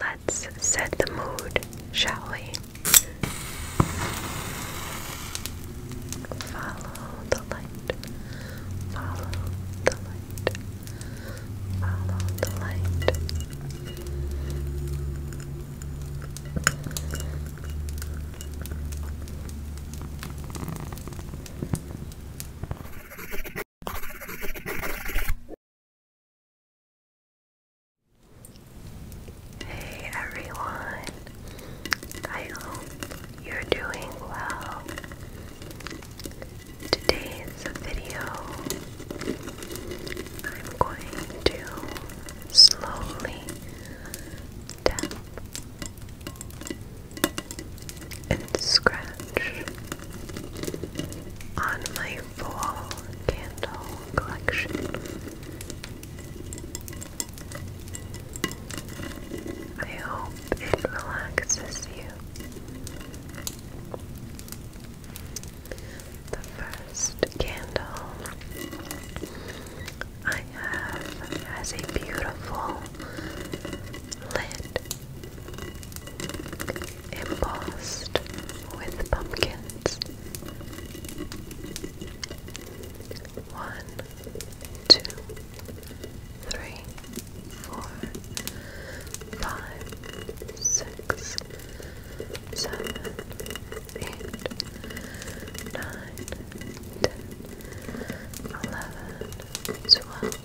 Let's set the mood, shall we? Follow the light, follow the light, follow the light. Hey everyone, I hope you're doing well. Today's video, I'm going to slowly tap and scratch on my full candle collection. I hope it relaxes you. The first candle I have has a beautiful lid embossed with pumpkins. One, two, three, four, five, six, seven, eight, nine, ten, eleven, twelve.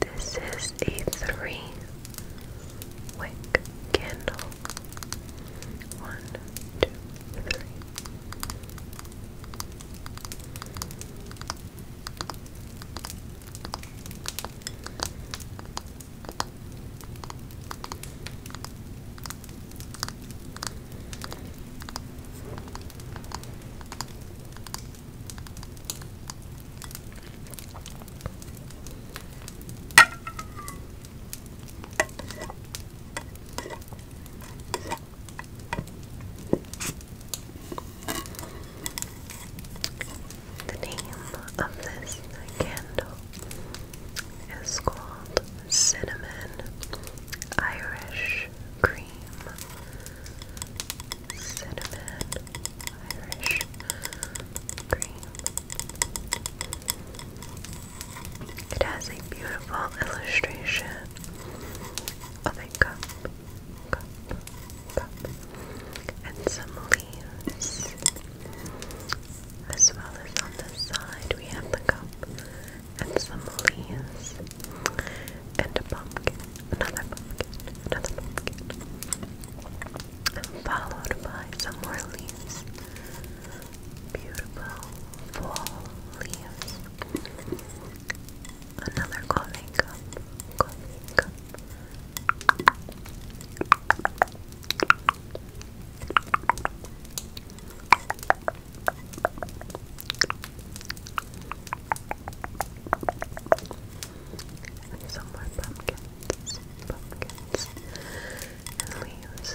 This is a three wick candle. One, two, three. The name of this candle is called Cinnamon Irish cream, cinnamon, Irish cream. It has a beautiful illustration of a cup, cup, cup, and some leaves. As well as on the side, we have the cup and some leaves and a pumpkin, another pumpkin, another pumpkin, followed by some more leaves. Beautiful fall leaves. Another coffee and some more pumpkins, pumpkins, and leaves.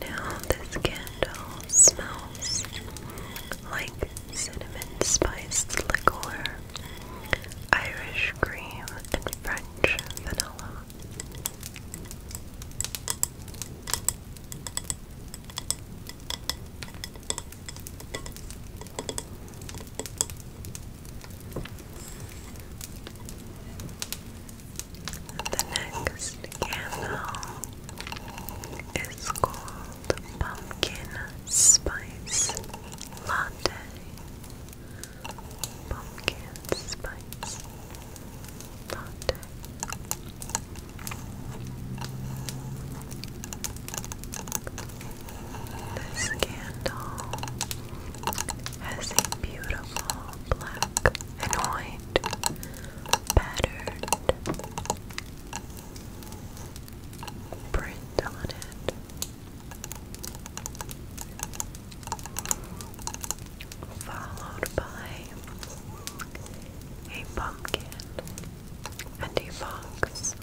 Now, this candle smells like cinnamon spiced liqueur, Irish cream, and French vanilla. The next candle is called Pumpkin Spice Latte. Pumpkin Spice Latte. This candle has a beautiful black and white pattern print on it. Followed by a pumpkin and evolves.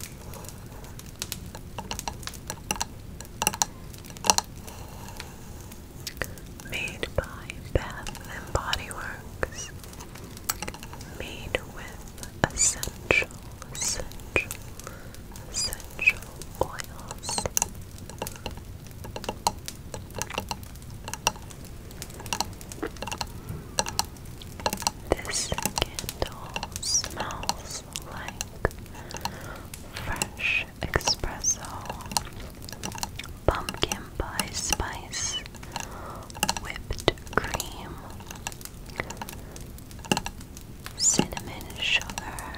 Made by Bath and Body Works. Made with essential, essential, essential oils. This candle smells like fresh espresso, pumpkin pie spice, whipped cream, cinnamon sugar.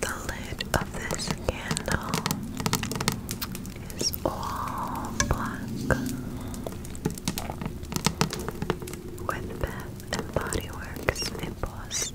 The lid of this candle is all black with bits and Body Works in Post.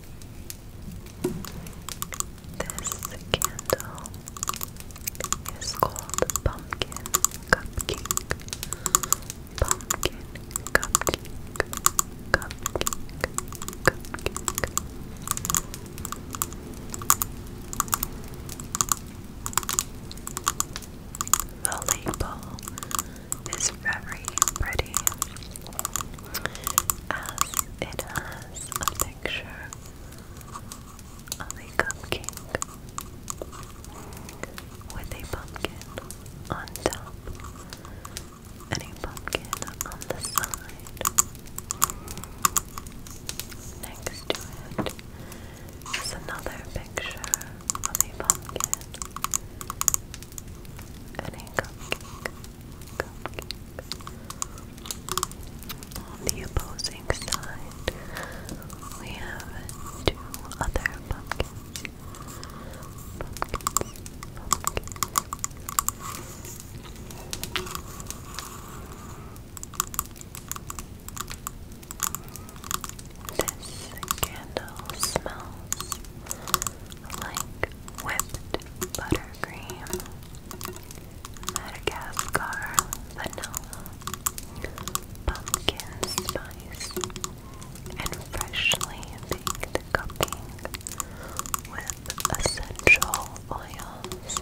This candle is called Pumpkin Cupcake. Pumpkin Cupcake. Cupcake. Cupcake. The label is very pretty as it has a picture of a cupcake with a pumpkin on top and a pumpkin on the side. Next to it is another picture of a pumpkin and a cupcake. On the opposing side, we have two other pumpkins. Pumpkins, pumpkins. This candle smells like whipped buttercream, Madagascar vanilla, pumpkin spice, and freshly baked cooking with essential oils.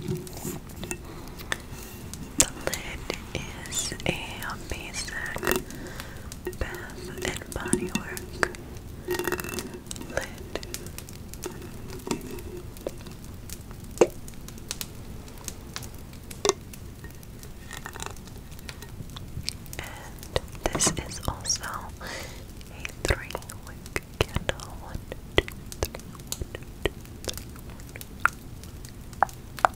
The lid is a basic Bath and Body Work And this is also a three wick candle. One, two, three, one, two, three, one.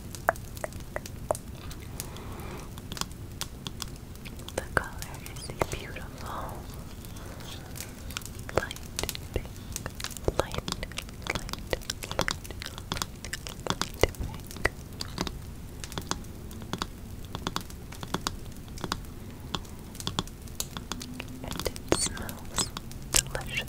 The color is a beautiful light pink, light, light, light, light And it smells delicious.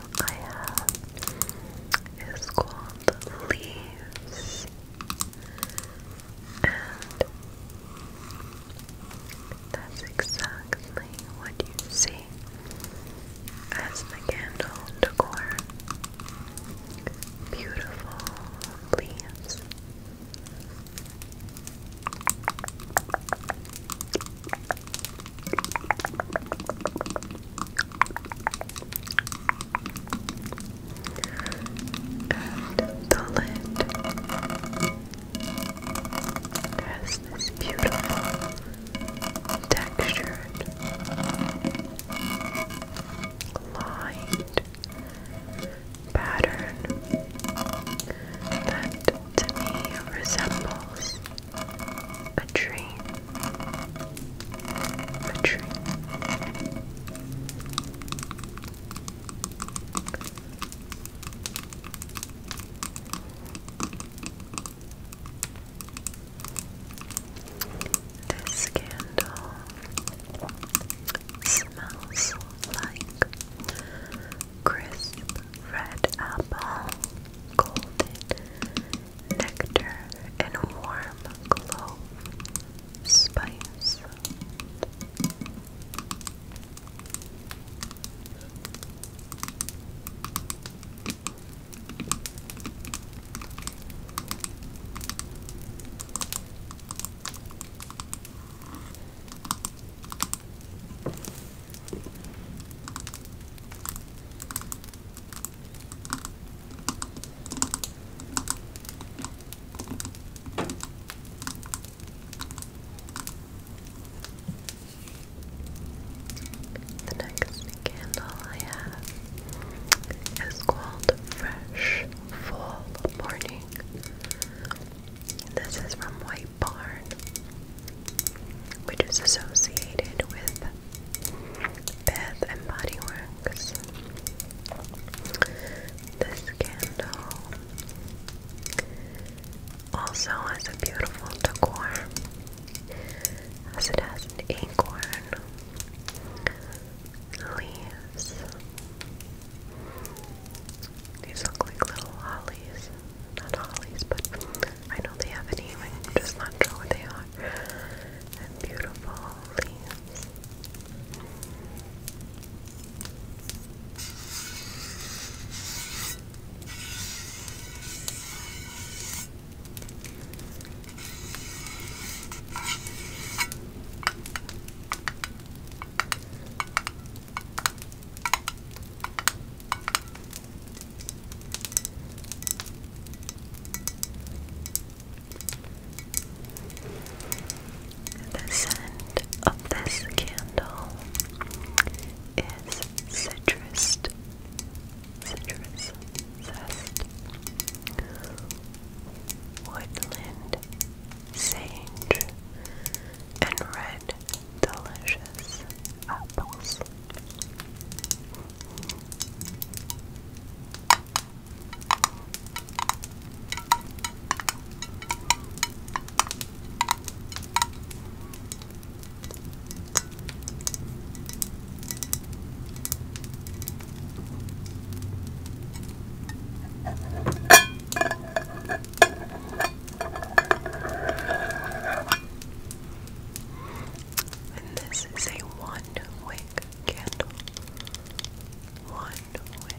I have is called Leaves and that's exactly what you see as the candle decor. Beautiful leaves. And the lid has this beautiful textured lined pattern that to me resembles a tree, a tree. This candle smells like crisp red apple golden nectar and warm glow, spice. The next candle I have is called Fresh Fall Morning. This is from White barn, which is associated with Bath and Body This candle also has a beautiful decor, as it has acorn, leaves. These look like little lollies not Hollies, but I know they have a name, i just not sure what they are. And beautiful leaves. The scent of this candle is citrus, citrus zest, woodland, sage, and red delicious apples. And this is a one wick candle. One wick.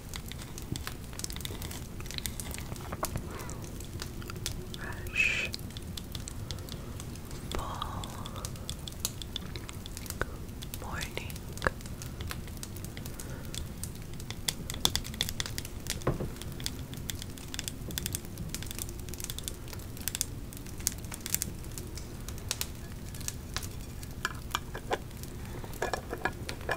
Rush, fall, morning,